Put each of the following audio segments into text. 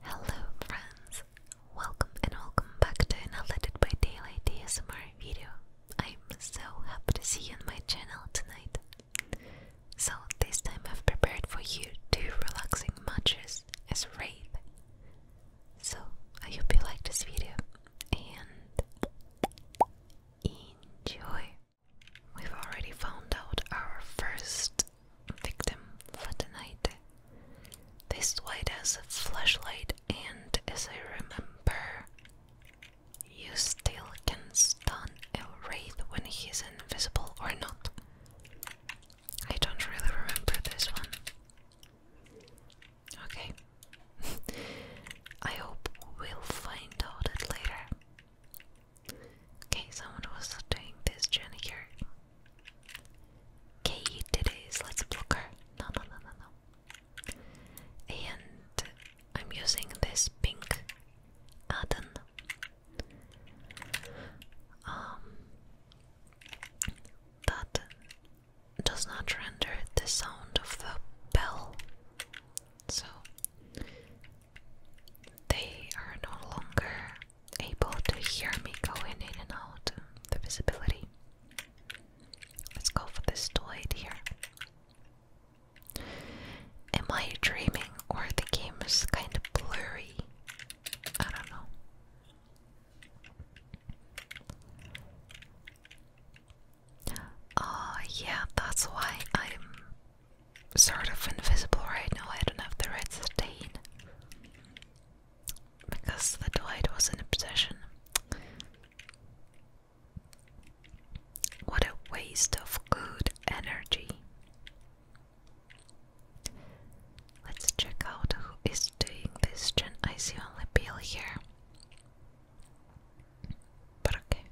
Hello friends, welcome and welcome back to another Dead by Daylight ASMR video. I'm so happy to see you on my channel tonight. So this time I've prepared for you two relaxing matches as Wraith. So I hope you like this video and enjoy. We've already found out our first victim Latinite. This white has a flashlight, and as I remember, you still can stun a wraith when he's invisible or not. I don't really remember this one. Okay. I hope we'll find out it later. Okay, someone was doing this journey here. Katie today's Let's Blooker. No, no, no, no, no. And I'm using this pink add um, that does not render the sound of the bell, so they are no longer able to hear me going in and out the visibility. Let's go for this toid here. Am I dreaming or the game is kind of blurry? I don't know. Oh, yeah, that's why I'm sort of invisible right now. I don't have the red stain because the delight was an obsession. What a waste of good energy. Let's check out who is doing this I see only Bill here. But okay.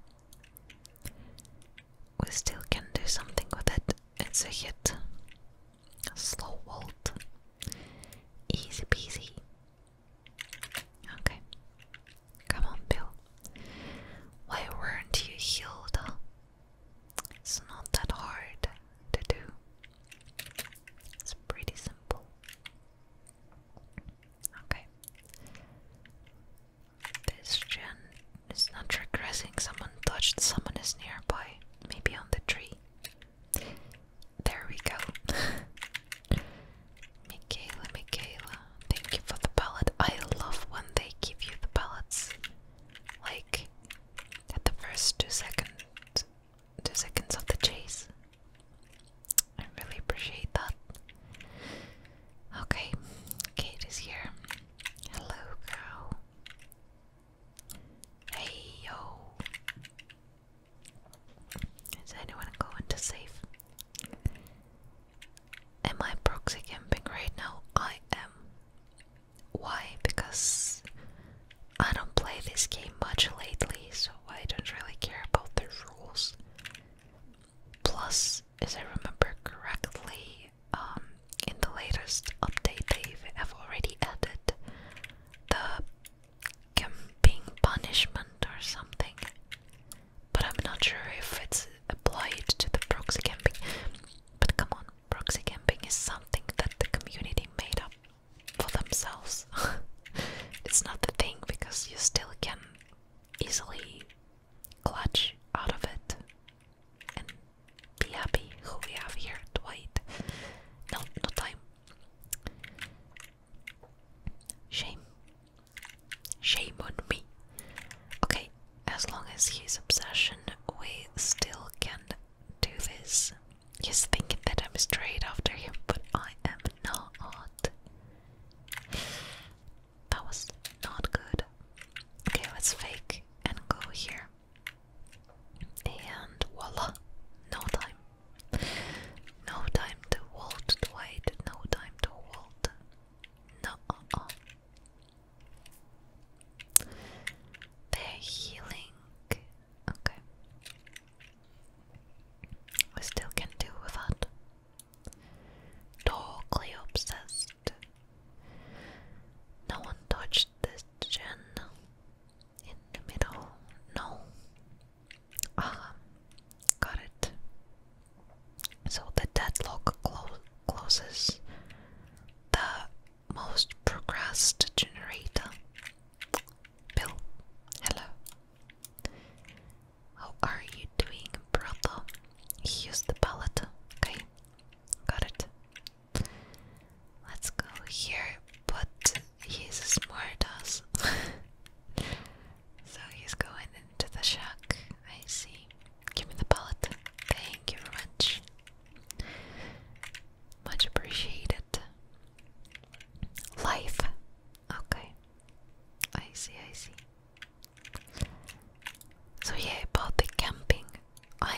We still can do something with it. It's a hit. Slow Walt. Easy peasy. Okay. Come on, Bill. Why weren't you healed? It's not that hard to do. It's pretty simple. Okay. This it's not regressing. Someone touched. Someone is nearby. Maybe on the tree. There we go. Michaela, Michaela, thank you for the palette. I love when they give you the palettes. Like at the first two seconds two seconds of the chase. I really appreciate that. Okay, Kate is here. Hello, girl. Hey yo! Is anyone going to save? Am I proxy camping right now? I am. Why? Because I don't play this game much lately, so I don't really care about the rules. Plus, if I remember correctly, um, in the latest update, they have already added the camping punishment or something, but I'm not sure if it's applied to the proxy camping. But come on, proxy camping is something that the community made up for themselves. it's not the thing because you still can easily clutch out of it be happy who we have here, Dwight. No, no time. Shame. Shame on me. Okay, as long as he's obsession, we still can do this. He's thinking that I'm straight after him, but I am not. That was not good. Okay, let's fake and go here. And voila, no time. No time to halt, to wait, no time to halt. No, uh -uh. They're healing. Okay. We still can do without. Door Cleopsis. No one touched this gen in the middle. No. Ah, got it. So the deadlock clo closes the most progressed generator. Bill, hello. How are you doing, brother? Here's the pallet. Okay, got it. Let's go here, but he's a smart ass. so he's going into the shack. I see. Give me the pallet. Thank you very much. Much appreciated. Life. Okay. I see, I see. So yeah, about the camping. I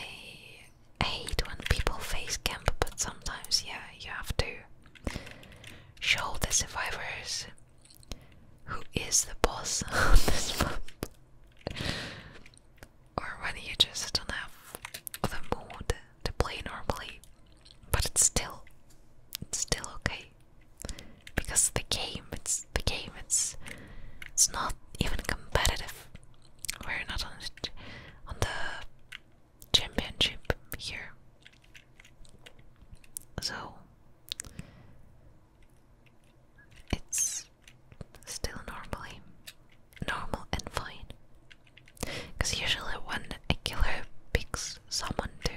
hate when people face camp, but sometimes, yeah, you have to show the survivors who is the boss on this map. or when you just don't have the mood to play normally, but it's still, it's still okay because the game, it's the game, it's, it's not even competitive. We're not on the, championship here. So it's still normally normal and fine. Because usually when a killer picks someone to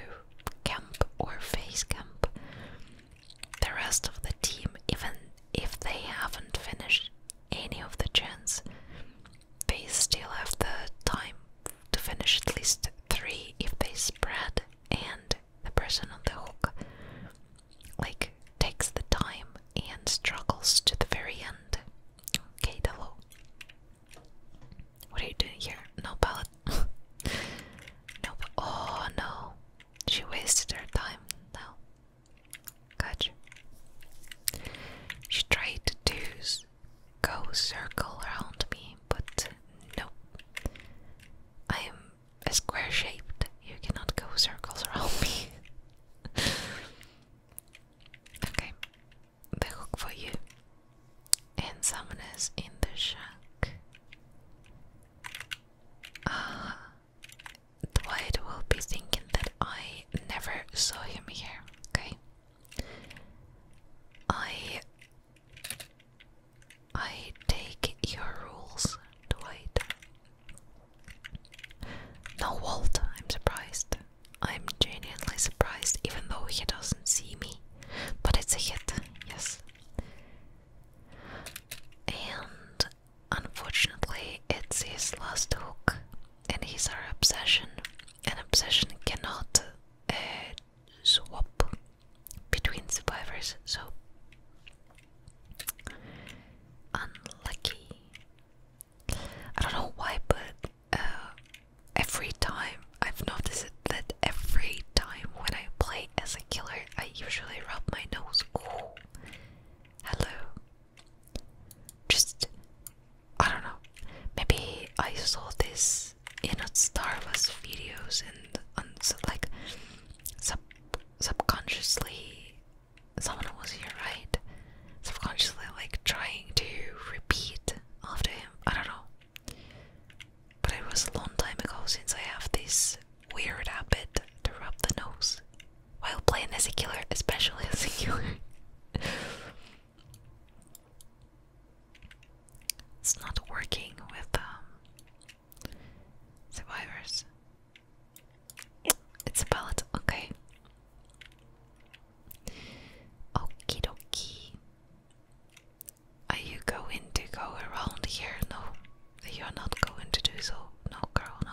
camp or face camp, the rest of the team, even if they haven't finished any of the gens, they still have the time to finish at least three if they spread and the person on the hook like takes the time and struggles to the very end. Okay, hello. What are you doing here? No pallet. no. Oh no. She wasted her time. No. Gotcha. She tried to do go circle around me, but nope. I am a square shaped. You cannot go circles around me. okay. The hook for you. And summoners in the shack. Ah, Dwight will be thinking that I never saw him here, okay? I I take your rules, Dwight. No Walt, I'm surprised. I'm genuinely surprised even though he doesn't see me. But it's a hit, yes. And unfortunately, it's his last hook, and he's our obsession. An obsession cannot uh, swap between survivors, so unlucky. I don't know why, but uh, every time I've noticed that every time when I play as a killer, I usually rub my nose hello. Just, I don't know. Maybe I saw this in a Star Wars videos and, like sub subconsciously someone was here, right? Subconsciously like trying to repeat after him. I don't know. But it was a long time ago since I have this weird habit to rub the nose while playing as a killer, especially as a killer. it's not working with um, survivors. It's a palette, okay. Okie dokie. Are you going to go around here? No, you're not going to do so. No, girl, no.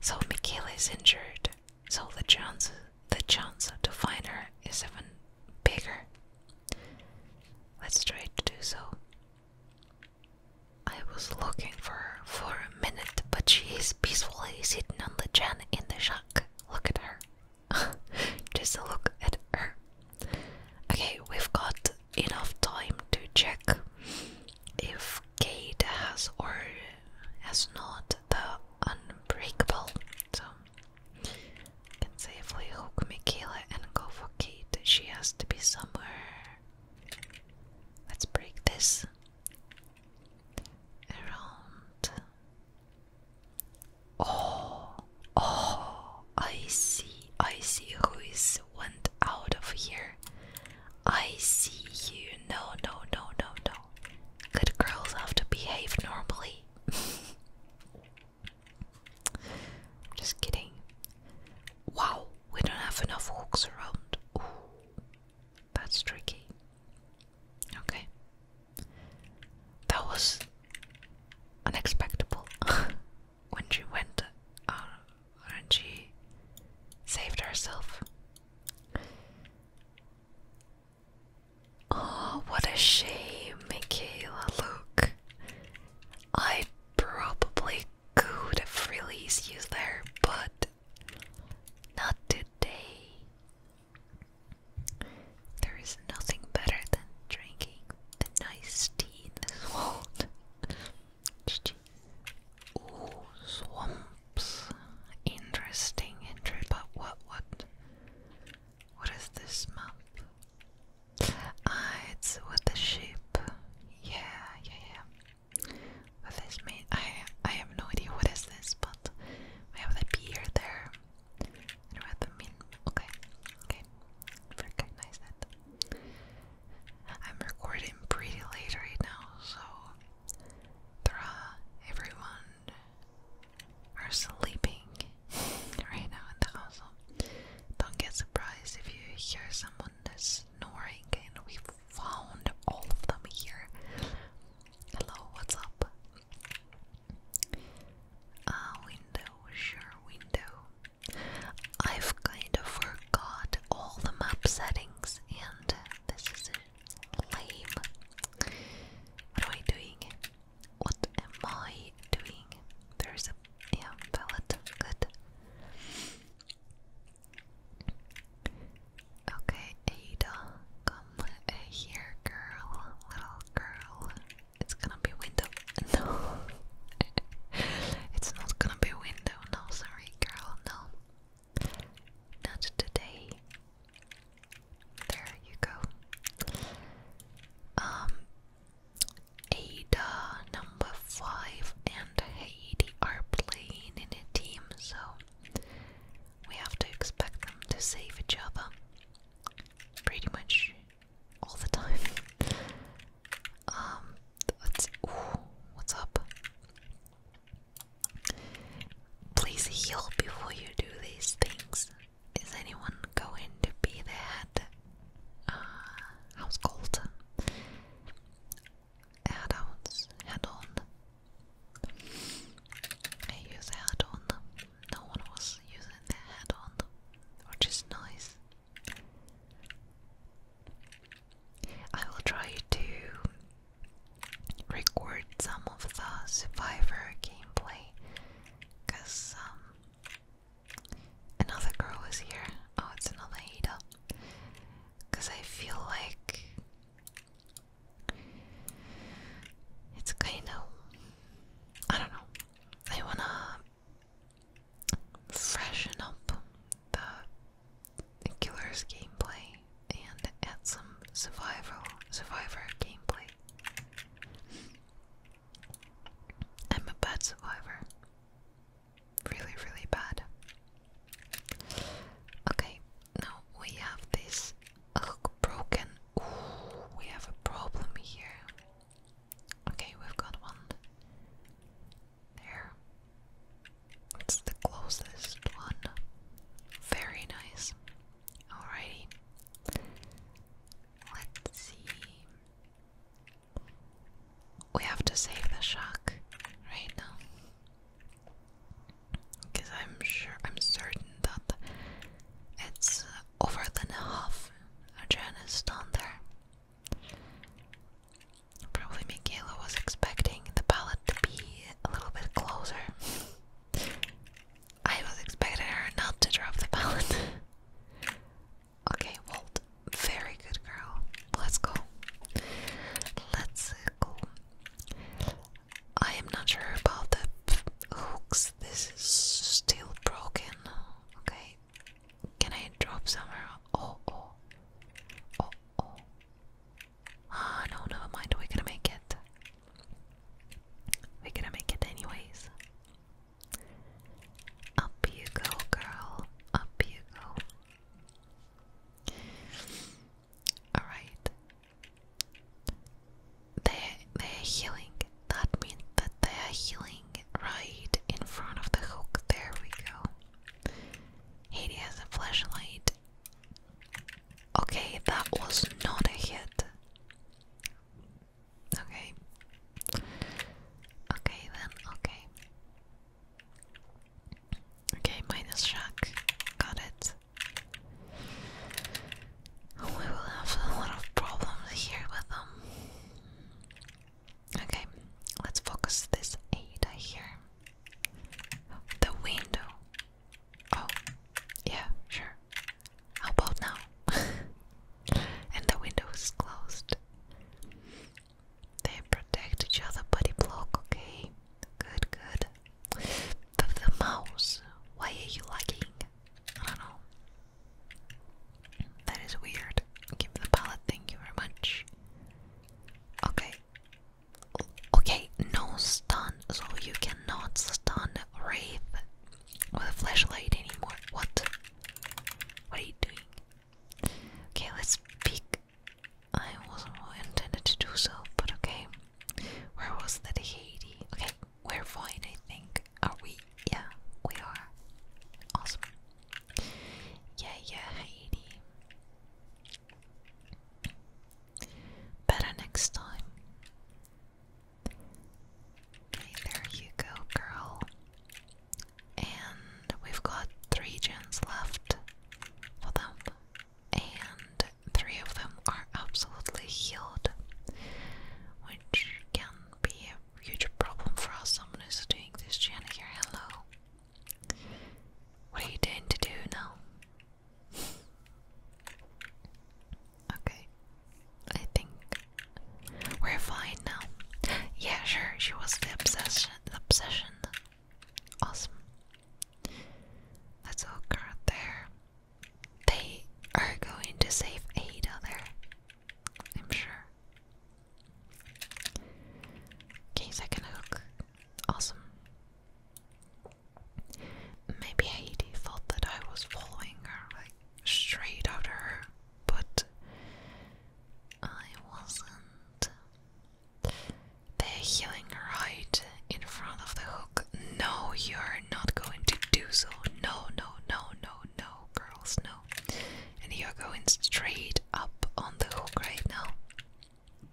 So Michaela is injured, so the chance the chance to find her is even bigger. Let's try to do so. I was looking for her for a minute, but she is peacefully sitting on the chair in the shack. Look at her. Just look at her. Okay, we've got enough time to check if Kate has or has not the unbreakable. So you can safely hook Michaela and go for Kate. She has to be somewhere. Let's break this around. Oh, oh, I see. I see who is went out of here. I see you. No, no, no, no, no. Good girls have to behave normally. Just kidding. Wow, we don't have enough hooks around. Ooh, that's tricky. Okay. That was unexpected. when she went uh, and she saved herself. Oh, what a shame, Michaela. Look, I probably could have released you there, but not today. There is nothing better than drinking the nice tea in this world. Ooh, swamps. Interesting intro, but what what what is this map? Ah, it's with the sheep. Yeah, yeah, yeah. What this mean I I have no idea what is this, but we have the beer there. And we have the okay. Okay. Very that. I'm recording pretty late right now, so everyone are sleeping right now in the house. don't get surprised if you hear someone that's snoring, and we found all of them here. Hello, what's up? Uh, window, sure, window. I've kind of forgot all the map settings, and this is lame. What am I doing? What am I doing? There's a yeah pallet. Good. Okay, Ada, come here, girl, little girl. It's gonna be window. No, it's not gonna be window. No, sorry sorry, girl, no. Not today. There you go. Um, Ada, number five, and Haiti are playing in a team, so we have to expect them to save each other pretty much all the time. Um, let what's up? Please heal before you do these things. Is anyone going to be there at uh, House Cold? Add-ons, on I use add-on. No one was using the on which is nice. I will try to record some of the Survivor gameplay because um, another girl is here. Oh, it's another Ada. Because I feel like it's kind of. I don't know. I wanna freshen up the killer's gameplay and add some survival survivor gameplay. I'm a bad survivor. Really, really bad. Okay, now we have this hook broken. we have a problem here. Okay, we've got one. There. It's the closest one. Very nice. Alrighty. Let's see. We have to save the shock right now. Because I'm sure, I'm certain that it's over than half. Jan is down there. Probably Michaela was expecting the pallet to be a little bit closer. I was expecting her not to drop the pallet. okay, Walt, very good girl. Let's go. Let's go. I am not sure about the hooks. This is still broken. Okay, can I drop somewhere? Oh, oh. Oh, oh. Ah, no, never mind. We're gonna make it. We're gonna make it anyways. Up you go, girl. Up you go. Alright. they they're healing. That means that they are healing right in front of the hook. There we go. Haiti has a flashlight. Okay, that was not a hit. Okay. Okay then, okay. Okay, minus shock. Got it. We will have a lot of problems here with them. Okay, let's focus this Ada here. The window. Oh, yeah, sure. How about now? and the window is closed. They protect each other but it block, okay? Good, good. The, the mouse. Why are you lagging? I don't know. That is weird. Give me the palette, thank you very much. Okay. Okay, no stun, so you cannot stun rape with a flashlight anymore. What? What are you doing? Okay, let's peek. I wasn't intended to do so, but okay. Where was that Haiti? Okay, we're fine, I think. Are we? Yeah, we are. Awesome. Yeah, yeah, Heidi. Better next time. Okay, there you go, girl. And we've got three gens left for them, and three of them are absolutely healed, which can be a huge problem for us. Someone is doing this gen here. Hello. What are you doing to do now? okay. I think we're fine now. Yeah, sure, she was the obsession obsession. Awesome. Let's all guard there. They are going to save Ada there. I'm sure. Okay, second hook. Awesome. Maybe Haiti thought that I was following her, like straight after her, but I wasn't. They're healing right in front of the hook. No, you're not going to do so. No, no, no, no, no, girls, no and you're going straight up on the hook right now.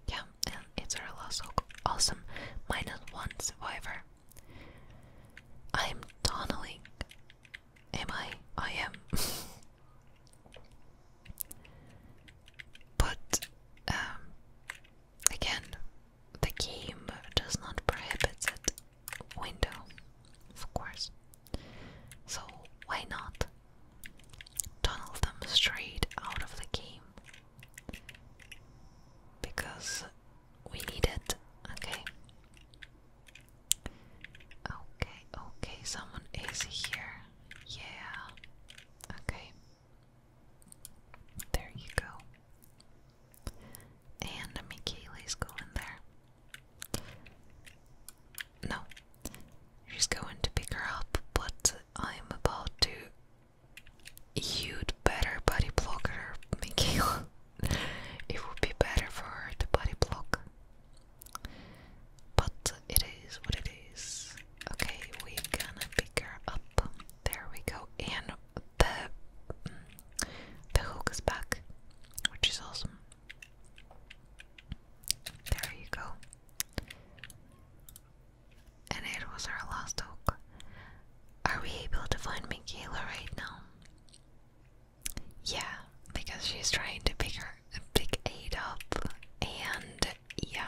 Yeah, and it's our last hook. Awesome. Minus one survivor. I'm tunneling. Am I? I am. but, um, again, the game does not prohibit that window, of course. So, why not? tunnel them straight out of the game because we need it. Okay. Okay, okay, someone is here. Yeah. Okay. There you go. And Michaela's going there. No. She's going to pick her up, but I'm about to. You'd better body block her, Mikhail. it would be better for her to body block. But it is what it is. Okay, we're gonna pick her up. There we go. And the the hook is back, which is awesome. There you go. And it was our last hope. Are we able to find Mikayla right now? Yeah, because she's trying to pick her big eight up and yeah.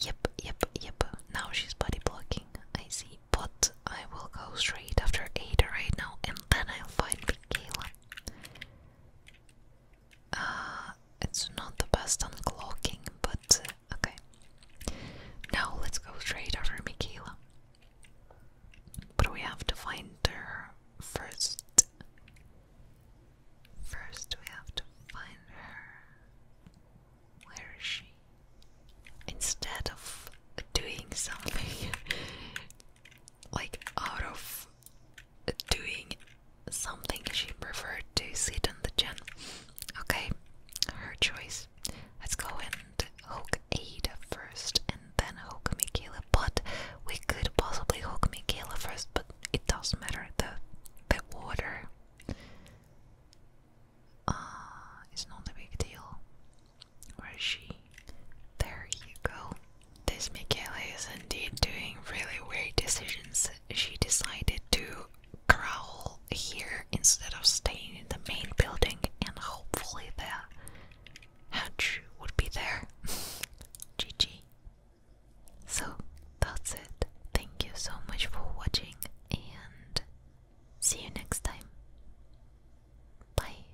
Yep, yep, yep. Now she's body blocking. I see. But I will go straight after Ada right now and then I'll find Mikayla. Uh, it's not the best on clocking, but uh, okay. Now let's go straight after Michaela. But we have to find her first. First, we have to find her. Where is she? Instead of doing something like out of doing something she preferred to sit on the gym. Okay, her choice. Let's go and hook Ada first and then hook Michaela. But we could possibly hook Michaela first, but it doesn't matter. The the water uh, is not a big deal. Where is she. There you go. This Michele is indeed doing really weird decisions. She decided to growl here instead of staying in the main building, and hopefully the hatch would be there. GG. So that's it. Thank you so much for watching, and see you next time. Bye.